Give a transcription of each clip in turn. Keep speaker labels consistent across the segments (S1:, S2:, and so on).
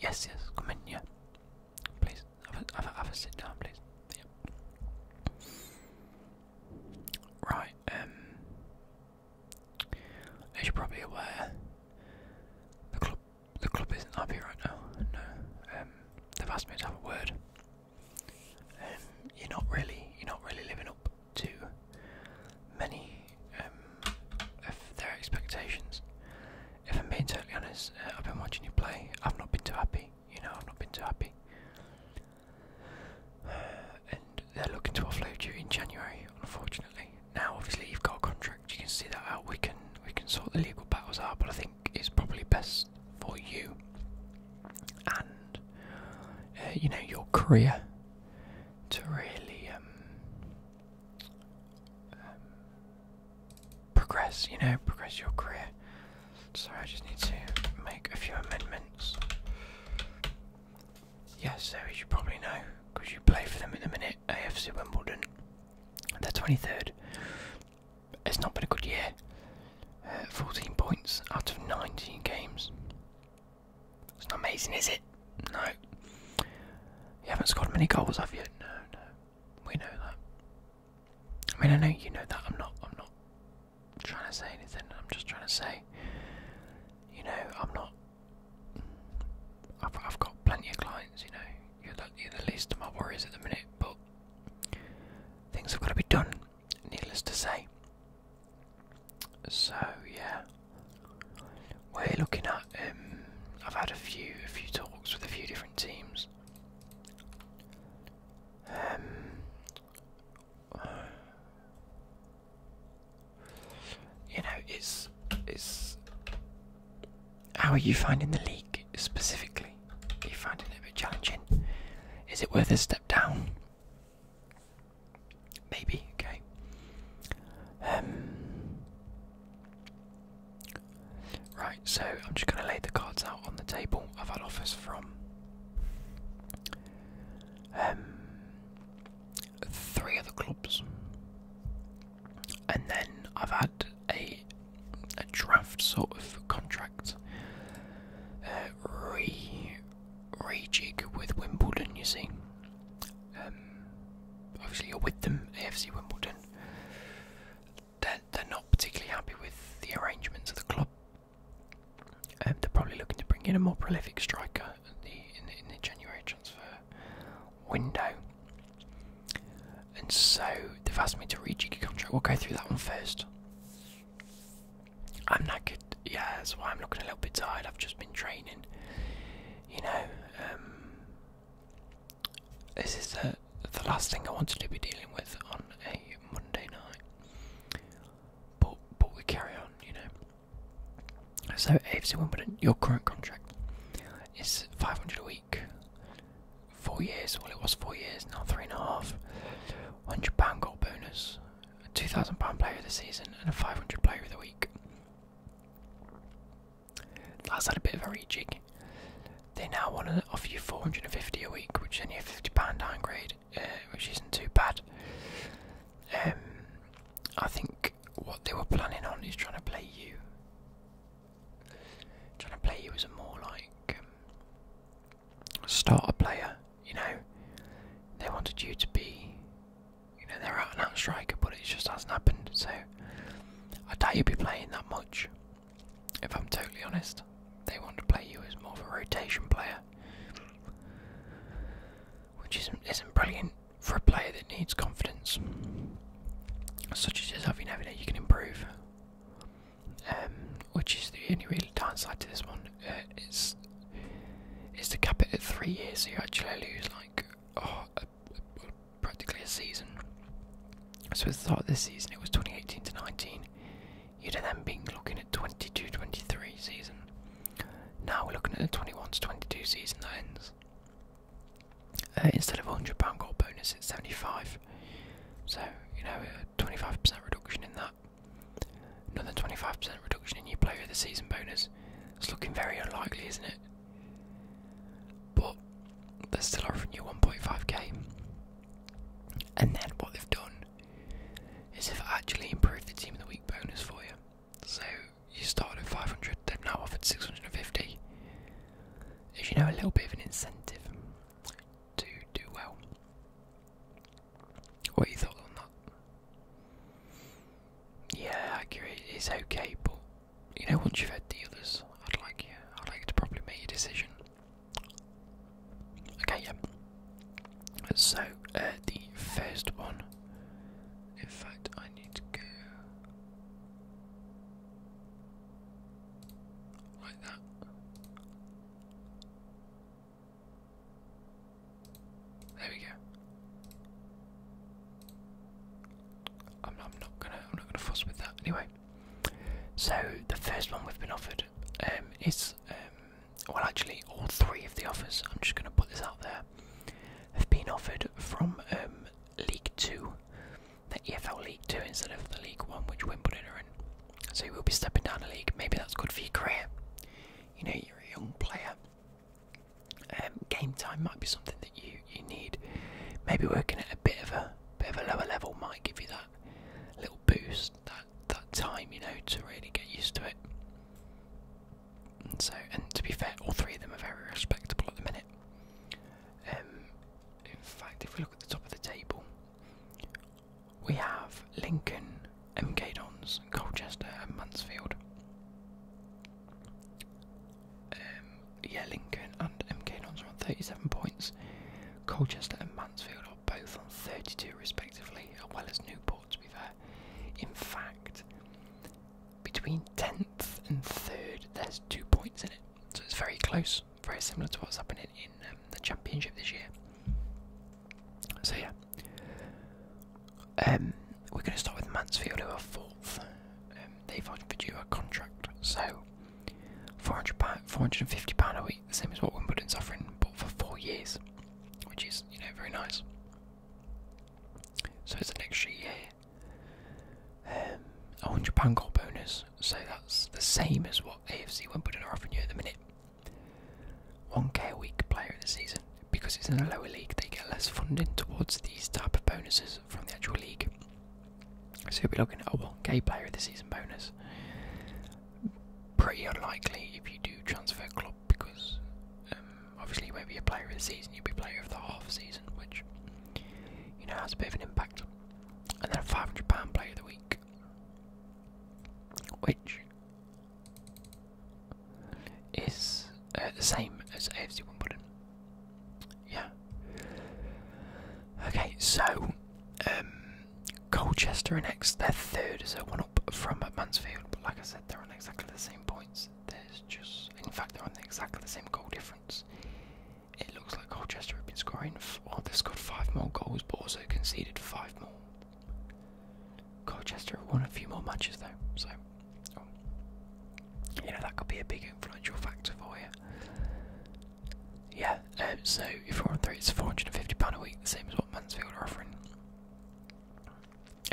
S1: Yes, yes, come in, here, Please, have a, have a, have a sit down, please. Right, um, as you're probably aware, the club, the club isn't happy right now. No, um, they've have a word. Um, you're not really, you're not really living up to many um, their expectations. If I'm being totally honest, uh, I've been watching you play. I've not been too happy. You know, I've not been too happy. and they're looking to offload you in January, unfortunately. Now, obviously, you've got a contract. You can see that out. We can we can sort the legal battles out, but I think it's probably best for you and uh, you know your career to really um, um, progress, you know, progress your career. Sorry, I just need to make a few amendments. Yes, so as you probably know, because you play for them in the minute, AFC Wimbledon. The 23rd. It's not been a good year. Uh, 14 points out of 19 games. It's not amazing, is it? No. You haven't scored many goals, have you? No, no. We know that. I mean, I know you know that. I'm not. I'm not trying to say anything. I'm just trying to say. You know, I'm not. I've, I've got plenty of clients. You know, you're the least of my worries at the minute. But things have got to be done. Needless to say. So yeah. We're looking at. Um, I've had a few, a few talks with a few different teams. Um, you know, it's it's. How are you finding the league specifically? Are you finding it a bit challenging? Is it worth a step down? Maybe. Okay. Um, Right, so I'm just going to lay the cards out on the table. I've had offers from um, three other clubs, and then I've had a draft sort of contract uh, re rejig with Wimbledon. You see, um, obviously you're with them, AFC Wimbledon, they're, they're not particularly happy with the arrangements of the club. Um, they're probably looking to bring in a more prolific striker in, the, January transfer window. And so they've asked me to read a contract. We'll go through that one first. I'm knackered, yeah, that's why I'm looking a little bit tired. I've just been training, you know. Um, this is the, the last thing I wanted to be dealing with on a Monday night. But but we carry on, you know. So AFC Wimbledon, your current contract is five hundred a week. Four years, well it was four years, now three and a half. Hundred pound goal bonus, a two thousand pound player of the season, and a five hundred player of the week. That's had a bit of a rejig. They now want to offer you 450 a week, which is only a 50 pound downgrade, uh, which isn't too bad. Um, I think what they were planning on is trying to play you, trying to play you as a more like um, starter player. You know, they wanted you to be, you know, they're out and striker, but it just hasn't happened. So I doubt you'd be playing that much, if I'm totally honest. They want to play you as more of a rotation player, which isn't, isn't brilliant for a player that needs confidence. Such as yourself, you never know, you can improve. Um, which is the only real downside to this one. Uh, it's, to cap it at three years, so you actually lose like oh, practically a season. So I thought this season it was 2018 to 19. You'd have then been looking at 22-23 season. Now we're looking at the 21 to 22 season ends. Uh, instead of £100 goal bonus, it's 75 So, you know, 25% reduction in that. Another 25% reduction in your player of the season bonus. It's looking very unlikely, isn't it? But they're still offering you 1.5k. And then what they've done is they've actually improved the team of the week bonus for you. So you started at 500, they've now offered 650. As you know, a little bit of an incentive to do well. What are your thoughts on that? Yeah, accurate is okay, but you know, once you've had dealers, I'd like I'd like to probably make a decision. Okay, yeah. So, uh, the first one. In fact, I need to go like that. There we go. I'm, not gonna I'm not gonna fuss with that anyway. So the first one we've been offered um, is um, well actually all three of the offers. I'm just gonna put this out there. Have been offered from um, League Two, the EFL League Two instead of the League One, which Wimbledon are in. So you will be stepping down a league. Maybe that's good for your career. You know, you're a young player. game time might be something you you need. Maybe working at a bit of a bit of a lower level might give you that little boost, that that time, you know, to really get used to it. And so, and to be fair, all three of them are very respectable at the minute. Um, in fact, if we look at the top of the table, we have Lincoln, MK Dons, Colchester, and Mansfield. Um, yeah, Lincoln and MK Dons on 37 points. Colchester and Mansfield are both on 32 respectively, as well as Newport, to be fair. In fact, between 10th and 3rd, there's two points in it. So it's very close, very similar to what's happening in um, the championship this year. So yeah, um, we're going to start with Mansfield, who are fourth. they've offered you a contract, so 400 pound, 450 pound a week, the same as what Wimbledon's offering, but for four years, which is you know very nice. So it's an extra year. Um, a hundred pound goal bonus, so that's the same as what AFC Wimbledon are offering you at the minute. 1k a week player in the season. Because it's in a lower league, they get less funding towards these type of bonuses from the actual league. So we be looking at a oh, well, gay player of the season bonus. Pretty unlikely if you do transfer club because um, obviously you won't be a player of the season, you'll be player of the half season, which you know has a bit of an impact. And then a five hundred pound player of the week, which is uh, the same as AFC Wimbledon. Yeah. Okay, so um, Colchester and next. They're third, so one up from Mansfield. But like I said, they're on exactly the same points. There's just, in fact, they're on exactly the same goal difference. It looks like Colchester have been scoring, well, they've scored five more goals, but also conceded five more. Colchester have won a few more matches though, so oh. you know that could be a big influential factor for you. Yeah, um, so if you're on three, it's £450 a week, the same as what Mansfield are offering.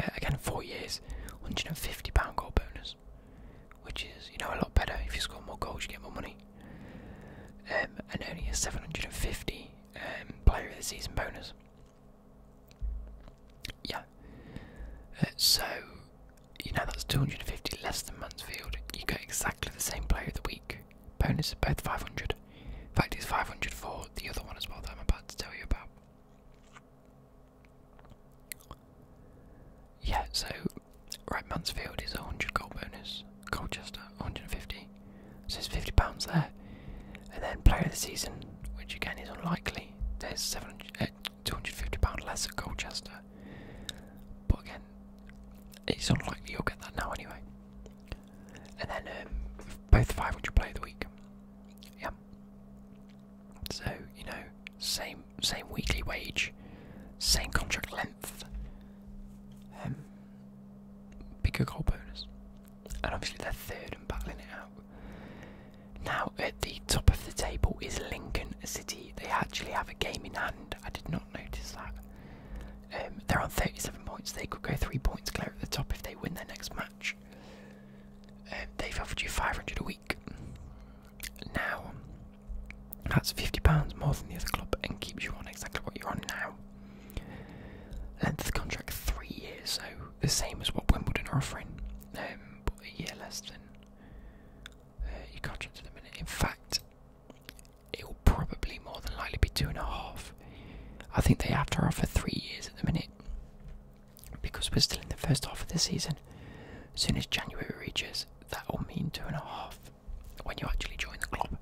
S1: Uh, again, four years, £150 goal bonus, which is, you know, a lot better. If you score more goals, you get more money. Um, and only a 750 um, player of the season bonus. Yeah. Uh, so you know that's 250 less than Mansfield. You get exactly the same player of the week. Bonus is both 500. In fact, it's 504. the other one as well that I'm about to tell you about. Yeah, so right, Mansfield is 100 gold bonus. Colchester 150, so it's 50 pounds there. And then player of the season, which again is unlikely. There's 250 uh, pound less at Colchester. But again, it's unlikely you'll get that now anyway. And then um, both five play the week. Yeah. So you know, same same weekly wage, same contract length. Um, bigger goal bonus, and obviously they're third and battling it out. Now at the top of the table is Lincoln. Lincoln City, they actually have a game in hand. I did not notice that. Um, they're on 37 points. They could go three points clear at the top if they win their next match. Um, they've offered you 500 a week. Now, that's 50 pounds more than the other club and keeps you on exactly what you're on now. Length of contract three years, so the same as what Wimbledon are offering, um, but a year less than uh, your contract at In fact, it will probably more than likely be two and a half. I think they have to offer three years at the minute because we're still in the first half of the season. As soon as January reaches, that will mean two and a half when you actually join the club.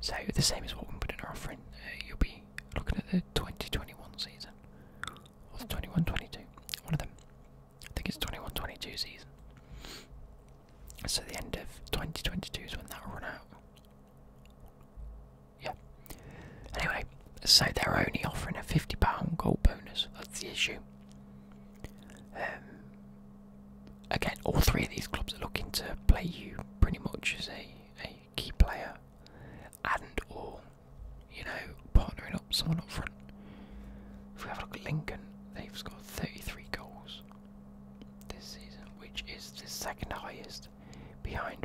S1: So the same as what we are putting offering. Uh, you'll be looking at the 2021 season or the 21-22, one of them. I think it's 21-22 season. So the end of 2022 is when that run out. Yeah. Anyway, so they're only offering a fifty pound gold bonus. That's the issue. Um, again, all three of these clubs are looking to play you pretty much as a, a key player, and or you know partnering up someone up front. If we have a look at Lincoln, they've scored 33 goals this season, which is the second highest behind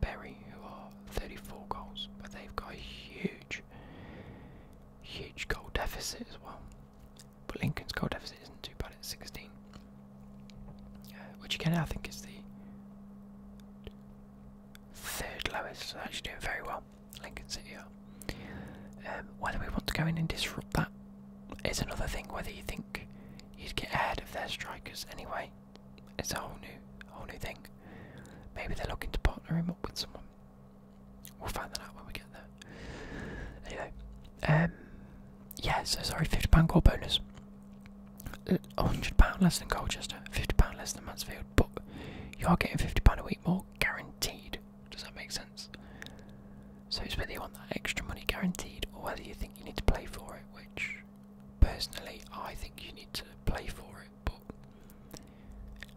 S1: Berry, who are 34 goals, but they've got a huge, huge goal deficit as well. But Lincoln's goal deficit isn't too bad at 16, uh, which again I think is the third lowest, so actually doing very well. Lincoln City um, whether we want to go in and disrupt that is another thing. Whether you think you'd get ahead of their strikers anyway, it's a whole new, whole new thing. Maybe they're looking to partner him up with someone. We'll find that out when we get there. Anyway, um, yeah. So sorry, fifty pound goal bonus. £100 uh, less than Colchester, £50 less than Mansfield, but you're getting £50 a week more guaranteed. Does that make sense? So it's whether you want that extra money guaranteed or whether you think you need to play for it, which personally I think you need to play for it, but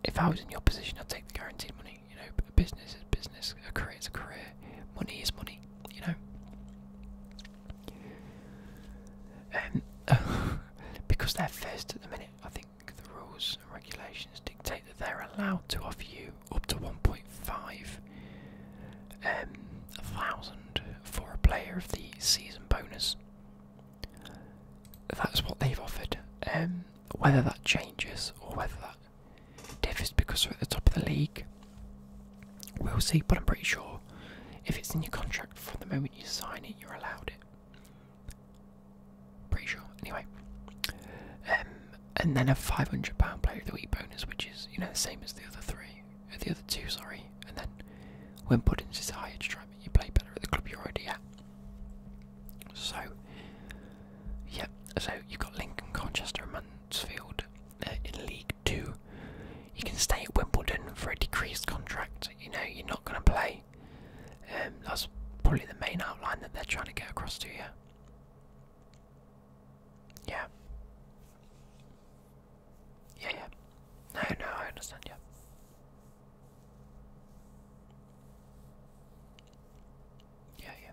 S1: if I was in your position I'd take the guaranteed money, you know, a business is business, a career is a career, money is money, you know. Um, because they're first at the minute, I think the rules and regulations dictate that they're allowed to offer you up to 1.5 um, thousand for a player of the season bonus. That's what they've offered. Um, whether that changes or whether that differs because we're at the top of the league, we'll see. But I'm pretty sure if it's in your contract from the moment you sign it, you're allowed it. Pretty sure. Anyway, um, and then a five hundred pound player of the week bonus, which is you know the same as the other three, uh, the other two, sorry. And then when Puddins is hired, to try and you play better at the club you're already at. So, yeah. So you've got Lincoln, Conchester, Mansfield uh, in League Two. You can stay at Wimbledon for a decreased contract. You know you're not going to play. Um, that's probably the main outline that they're trying to get across to you. Yeah. Yeah, yeah. No, no, I understand, yeah. Yeah, yeah.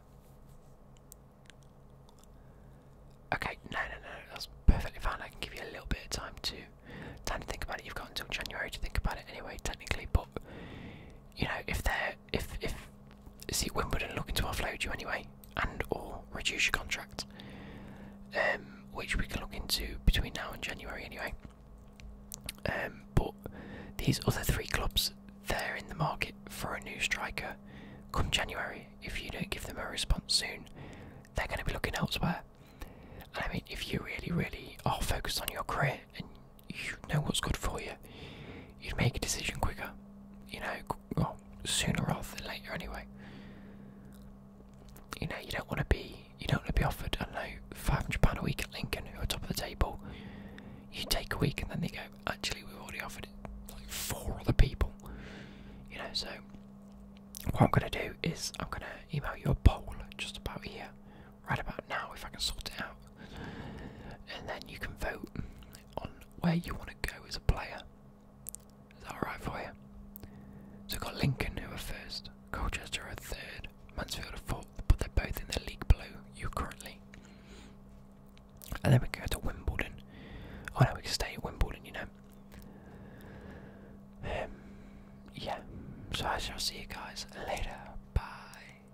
S1: Okay, no, no, no, that's perfectly fine. I can give you a little bit of time to time to think about it. You've got until January to think about it anyway, technically, but you know, if they're if if see Wimbledon looking to offload you anyway, and or reduce your contract, um, which we can look into between now and January anyway. Um, but these other three clubs, they're in the market for a new striker. Come January, if you don't give them a response soon, they're going to be looking elsewhere. I mean, if you really, really are focused on your career and you know what's good for you. You'd make a decision quicker, you know, sooner rather than later, anyway. You know, you don't want to be, you don't want to be offered, I know, five hundred pound a week at Lincoln, who are top of the table. You take a week, and then they go, actually, we've already offered it like four other people. You know, so what I'm gonna do is I'm gonna email you a poll just about here, right about now, if I can sort it out and then you can vote on where you want to go as a player. Is that alright for you? So got Lincoln who are first, Colchester are third, Mansfield are fourth, but they're both in the league below you currently. And then we go to Wimbledon. Oh no, we can stay at Wimbledon, you know. Um, yeah, so I shall see you guys later. Bye.